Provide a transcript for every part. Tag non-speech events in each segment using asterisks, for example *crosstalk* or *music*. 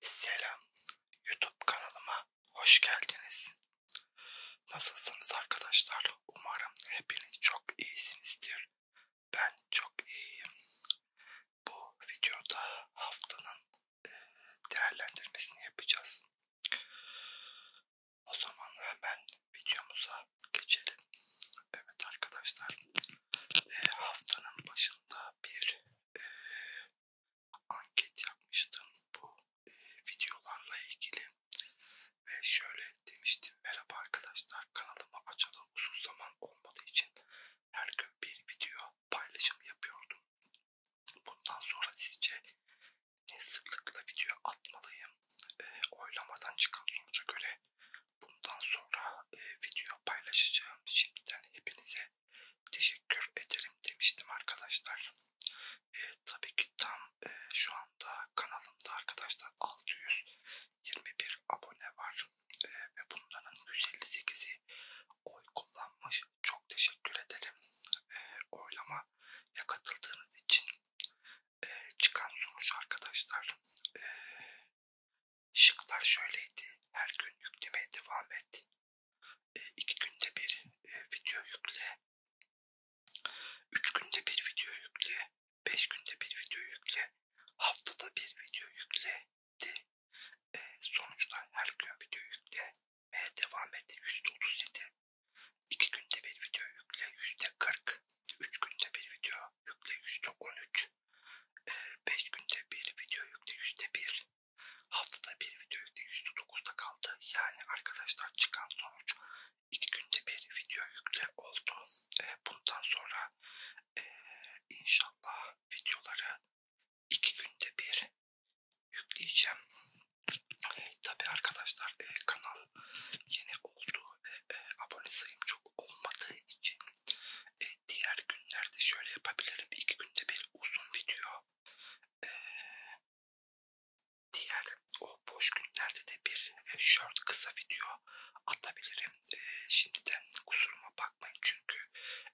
Selam, YouTube kanalıma hoş geldiniz. Nasılsınız arkadaşlar? Umarım hepiniz çok iyisinizdir. Ben çok iyiyim. Bu videoda haftanın değerlendirmesini yapacağız. O zaman hemen videomuza geçelim. Evet arkadaşlar, haftanın başında bir anket yapmıştım bu e, videolarla ilgili ve şöyle demiştim merhaba arkadaşlar kanalımı açalı uzun zaman olmadığı için her gün bir video paylaşımı yapıyordum. Bundan sonra sizce ne sıklıkla video atmalıyım? E, oylamadan çıkan sonuca göre bundan sonra e, video paylaşacağım. Şimdiden hepinize teşekkür ederim demiştim arkadaşlar. E, tabii ki tam e, şu anda kanalımda arkadaşlar 621 abone var e, ve bunların 158'i oy kullanmış. Çok teşekkür ederim e, ee, oylamaya katıldığınız için. E, çıkan sonuç arkadaşlar e, Şıklar şöyleydi. Her gün yüklemeye devam et. E, iki günde bir e, video yükle. Üç günde bir video yükle. Beş günde bir video yükle. Haftada bir video yükle. E, sonuçlar her gün video yükle. Ve devam et. %37. İki günde bir video yükle. %40. Üç günde bir video yükle. %13. 5 ee, günde bir video yükle %1, haftada bir video yükle %9'da kaldı. Yani arkadaşlar çıkan sonuç 2 günde bir video yükle oldu. Ee, bundan sonra e, inşallah videoları 2 günde bir yükleyeceğim. Tabi arkadaşlar e, kanal yeni oldu ve e, abone sayım çok olmadığı için e, diğer günlerde şöyle yapabilirim. İki günde bir uzun video. E, diğer o boş günlerde de bir e, short kısa video atabilirim. E, şimdiden kusuruma bakmayın çünkü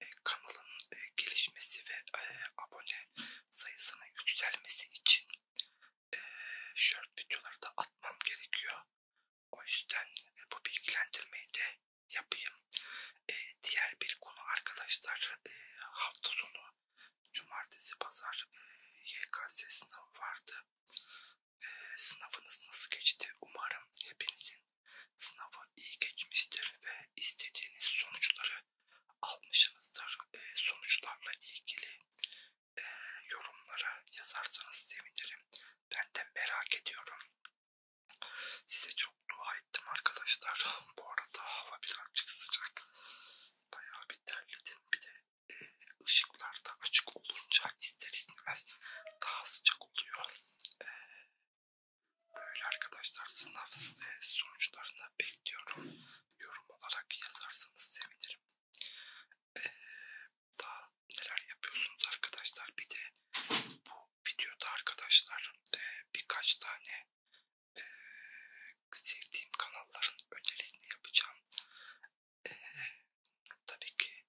e, kanalın e, gelişmesi ve e, abone sayısının yükselmesi için e, short videoları da atmam gerekiyor. O yüzden e, bu bilgilendirmeyi de yapayım. E, diğer bir konu arkadaşlar e, hafta sonu cumartesi pazar e, YKS sınavı vardı. E, sınavınız nasıl geçti? Umarım hepinizin sınavı iyi geçmiştir ve istediğiniz sonuçları almışsınızdır. E, sonuçlarla ilgili e, yorumlara yazarsanız sevinirim. Ben de merak ediyorum. Size çok dua ettim arkadaşlar. *laughs* Bu arada hava birazcık sıcak. Bayağı bir terledim. Bir de e, ışıklar da açık olunca ister istemez daha sıcak oluyor. E, böyle arkadaşlar sınav e, sonuçlarını bekliyorum. Yorum olarak yazarsanız sevinirim. E, daha neler yapıyorsunuz arkadaşlar. Bir de bu videoda arkadaşlar e, birkaç tane e, sevdiğim kanalların önerisini yapacağım. E, tabii ki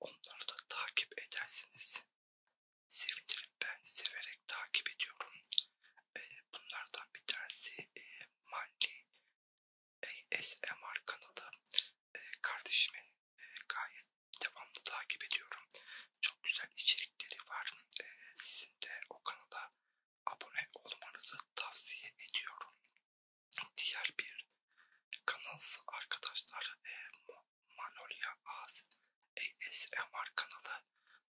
onları da takip edersiniz. Sevinirim ben severek takip ediyorum. E, bunlardan bir tanesi e, Mali ASMR kanalı e, kardeşimin gayet devamlı takip ediyorum. Çok güzel içerikleri var. Ee, sizin de o kanala abone olmanızı tavsiye ediyorum. Diğer bir kanalsa arkadaşlar e, Manolya ASMR kanalı.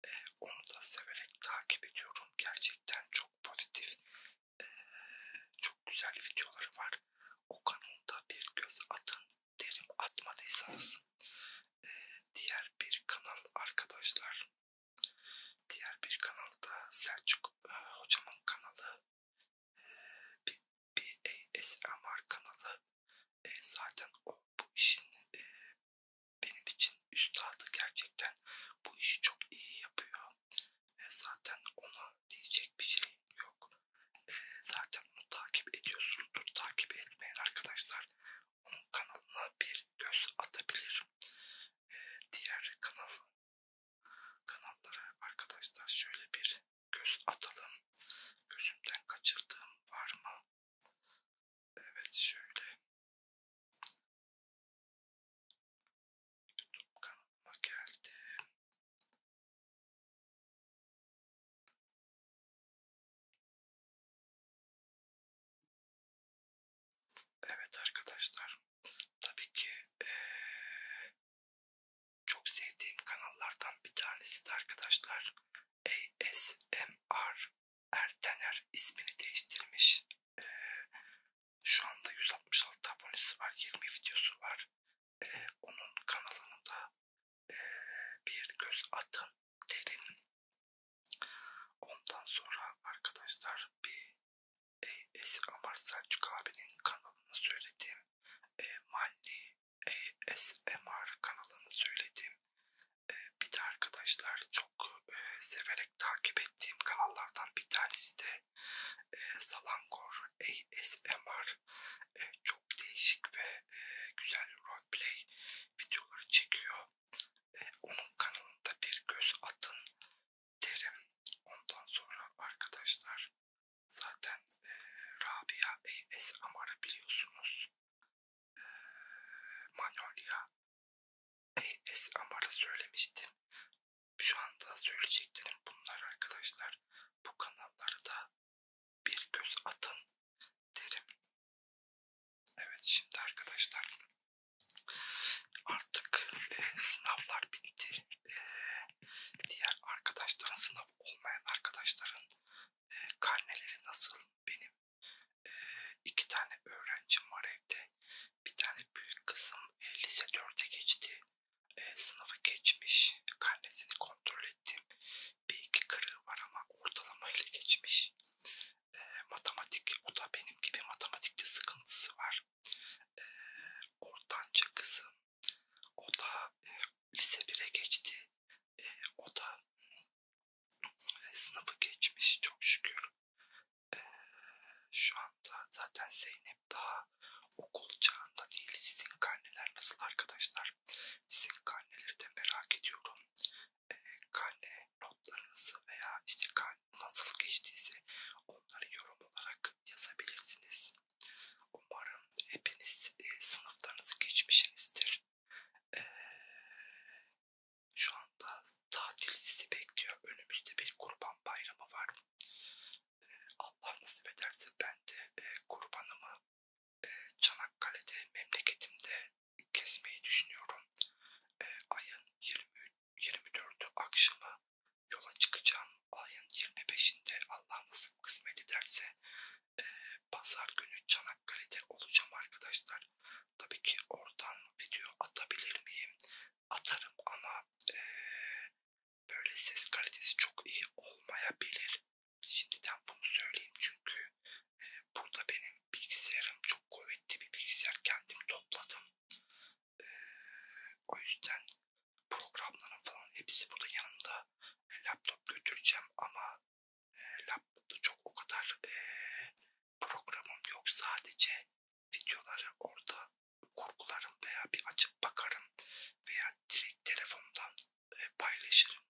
E, onu da severek takip ediyorum. Gerçekten çok pozitif, e, çok güzel videoları var o kanalda bir göz atın derim atmadıysanız e, diğer bir kanal arkadaşlar diğer bir kanalda Selçuk e, hocamın kanalı e, bir, bir ASMR kanalı e, zaten o bu işin e, benim için üstadı gerçekten bu işi çok iyi yapıyor e, zaten ona diyecek bir şey yok zaten onu takip ediyorsunuzdur. Takip etmeyen arkadaşlar onun kanalına bir göz atabilir. Ee, diğer kanal kanallara arkadaşlar şöyle bir göz atalım. Gözümden kaçırdığım var mı? Evet şöyle. YouTube kanalıma geldim. Evet arkadaşlar, tabii ki ee, çok sevdiğim kanallardan bir tanesi de arkadaşlar ASMR Ertener ismini değiştirmiş. Ee, şu anda 166 abonesi var, 20 videosu var e, onun kanalına da e, bir göz atın derim. Ondan sonra arkadaşlar bir ASMR Selçuk abinin kanalını söyledim. E, Manli ASMR kanalını söyledim. E, bir de arkadaşlar çok e, severek takip ettiğim kanallardan bir tanesi de e, Salangor ASMR e, çok değişik ve e, güzel roleplay videoları çekiyor. E, onun kanalında bir göz atın derim. Ondan sonra arkadaşlar zaten e, Rabia ASMR'ı biliyorsunuz. E, Manolya ASMR'ı söylemiştim. Şu anda söyleyeceklerim bunlar arkadaşlar. Bu kanallara da bir göz atın derim. Evet şimdi arkadaşlar artık e, sınavlar bitti. E, diğer arkadaşların sınav olmayan arkadaşların e, karneleri nasıl? Benim e, iki tane öğrencim var evde. Bir tane büyük kızım e, lise 4'e geçti e, sınavı geçmiş. Karnesini kontrol ettim. Bir iki kırığı var ama ortalama ile geçmiş. E, matematik, o da benim gibi matematikte sıkıntısı var. E, ortanca kızım, o da e, lise 1'e geçti. E, o da e, sınavı geçmiş çok şükür. E, şu an çağında zaten Zeynep daha okul çağında değil. Sizin karneler nasıl arkadaşlar? Sizin karneleri de merak ediyorum. E, karne notlarınızı veya işte nasıl geçtiyse onları yorum olarak yazabilirsiniz. Umarım hepiniz e, sınıflarınızı geçmişsinizdir. E, ee, şu anda tatil sizi bekliyor. Önümüzde bir kurban bayramı var. Allah nasip ederse ben de e, kurbanımı e, Çanakkale'de memleketimde kesmeyi düşünüyorum. E, ayın 20, 24'ü akşamı yola çıkacağım. Ayın 25'inde Allah nasip kısmet ederse e, pazar günü Çanakkale'de olacağım arkadaşlar. Tabii ki oradan video atabilir miyim? Atarım ama e, böyle ses kalitesi çok iyi olmayabilir. Şimdiden bunu söyleyeyim çünkü e, burada benim bilgisayarım çok kuvvetli bir bilgisayar kendim topladım. E, o yüzden programların falan hepsi burada yanında. E, laptop götüreceğim ama e, laptopta çok o kadar e, programım yok sadece videoları orada kurgularım veya bir açıp bakarım veya direkt telefondan e, paylaşırım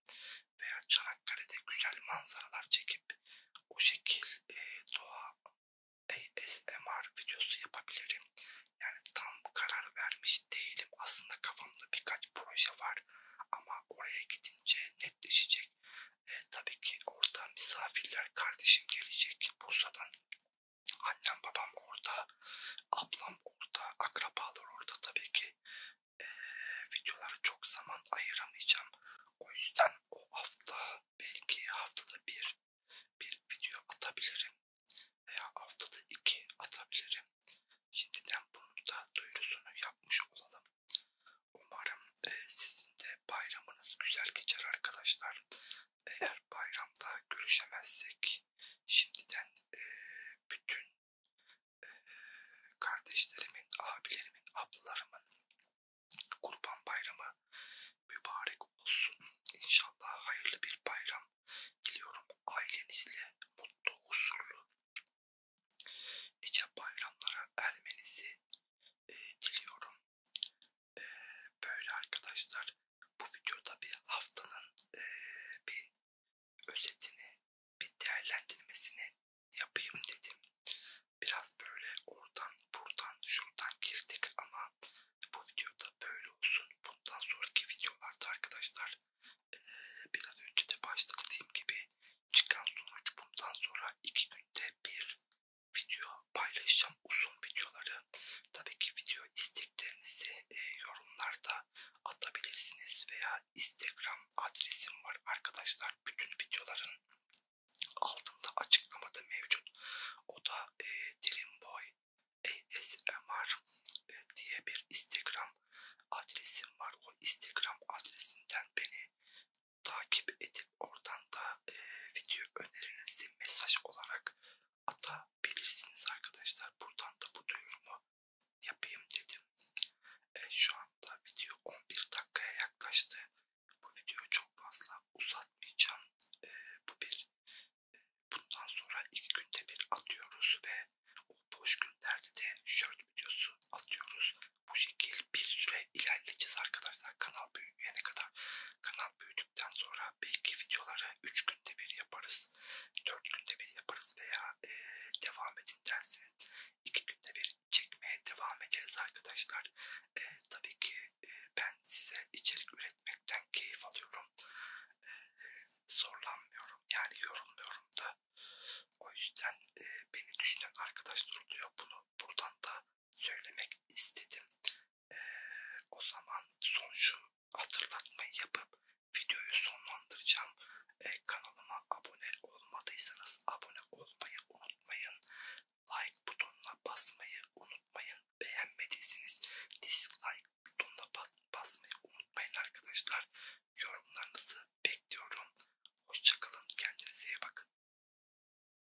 veya Çanakkale'de güzel manzaralar çekip o şekil e, doğa ASMR e, videosu yapabilirim. Yani tam karar vermiş değilim. Aslında kafamda birkaç proje var ama oraya gidince netleşecek. E, tabii ki orada misafirler kardeşim gelecek Bursa'dan Annem babam orada, ablam orada, akrabalar orada tabii ki e, videolara çok zaman ayıramayacağım. O yüzden o hafta belki haftada bir bir video atabilirim veya haftada iki atabilirim. Şimdiden bunun da duyurusunu yapmış olalım. Umarım e, sizin de bayramınız güzel geçer arkadaşlar. Eğer bayramda görüşemezsek şimdiden e, bütün e, kardeşlerimin, abilerimin, ablalarımın kurban bayramı mübarek olsun. İnşallah hayırlı bir bayram diliyorum ailenizle mutlu, huzurlu nice bayramlara ermenizi e, diliyorum. Ee, böyle arkadaşlar bu videoda bir haftanın e, bir özetini, bir değerlendirmesini yapayım dedim. Biraz böyle oradan, buradan, şuradan girdik ama bu videoda böyle olsun. Bundan sonraki videolarda arkadaşlar e, biraz önce de başta dediğim gibi çıkan sonuç bundan sonra iki günde bir video paylaşacağım uzun videoları. Tabii ki video isteklerinizi e, yorumlarda atabilirsiniz veya Instagram adresim var arkadaşlar. Bütün videoların altında açıklamada mevcut. O da e, Dreamboy ASMR e, diye bir Instagram adresim var. O Instagram adresinden beni takip edin gidip oradan da e, video önerinizi mesaj olarak atabilirsiniz arkadaşlar. Buradan da bu duyurumu yapayım dedim. E, şu anda video 11 dakikaya yaklaştı. Bu videoyu çok fazla uzatmayacağım. E, bu bir e, bundan sonra iki günde bir atıyoruz ve o boş günlerde de short videosu atıyoruz. Bu şekil bir süre ilerleyeceğiz arkadaşlar kanal büyümeyene kadar. Kanal büyüdükten sonra belki videoları 3 günde bir yaparız, 4 günde bir yaparız veya e, devam edin derseniz 2 günde bir çekmeye devam ederiz arkadaşlar. E, tabii ki e, ben size içerik üretmekten keyif alıyorum. E, zorlanmıyorum yani yorulmuyorum da. O yüzden e, beni düşünen arkadaşlar oluyor. Bunu buradan da söylemek istedim. Ee, o zaman son şu hatırlatmayı yapıp videoyu sonlandıracağım. Ee, kanalıma abone olmadıysanız abone olmayı unutmayın. Like butonuna basmayı unutmayın. Beğenmediyseniz dislike butonuna basmayı unutmayın arkadaşlar. Yorumlarınızı bekliyorum. Hoşçakalın. Kendinize iyi bakın.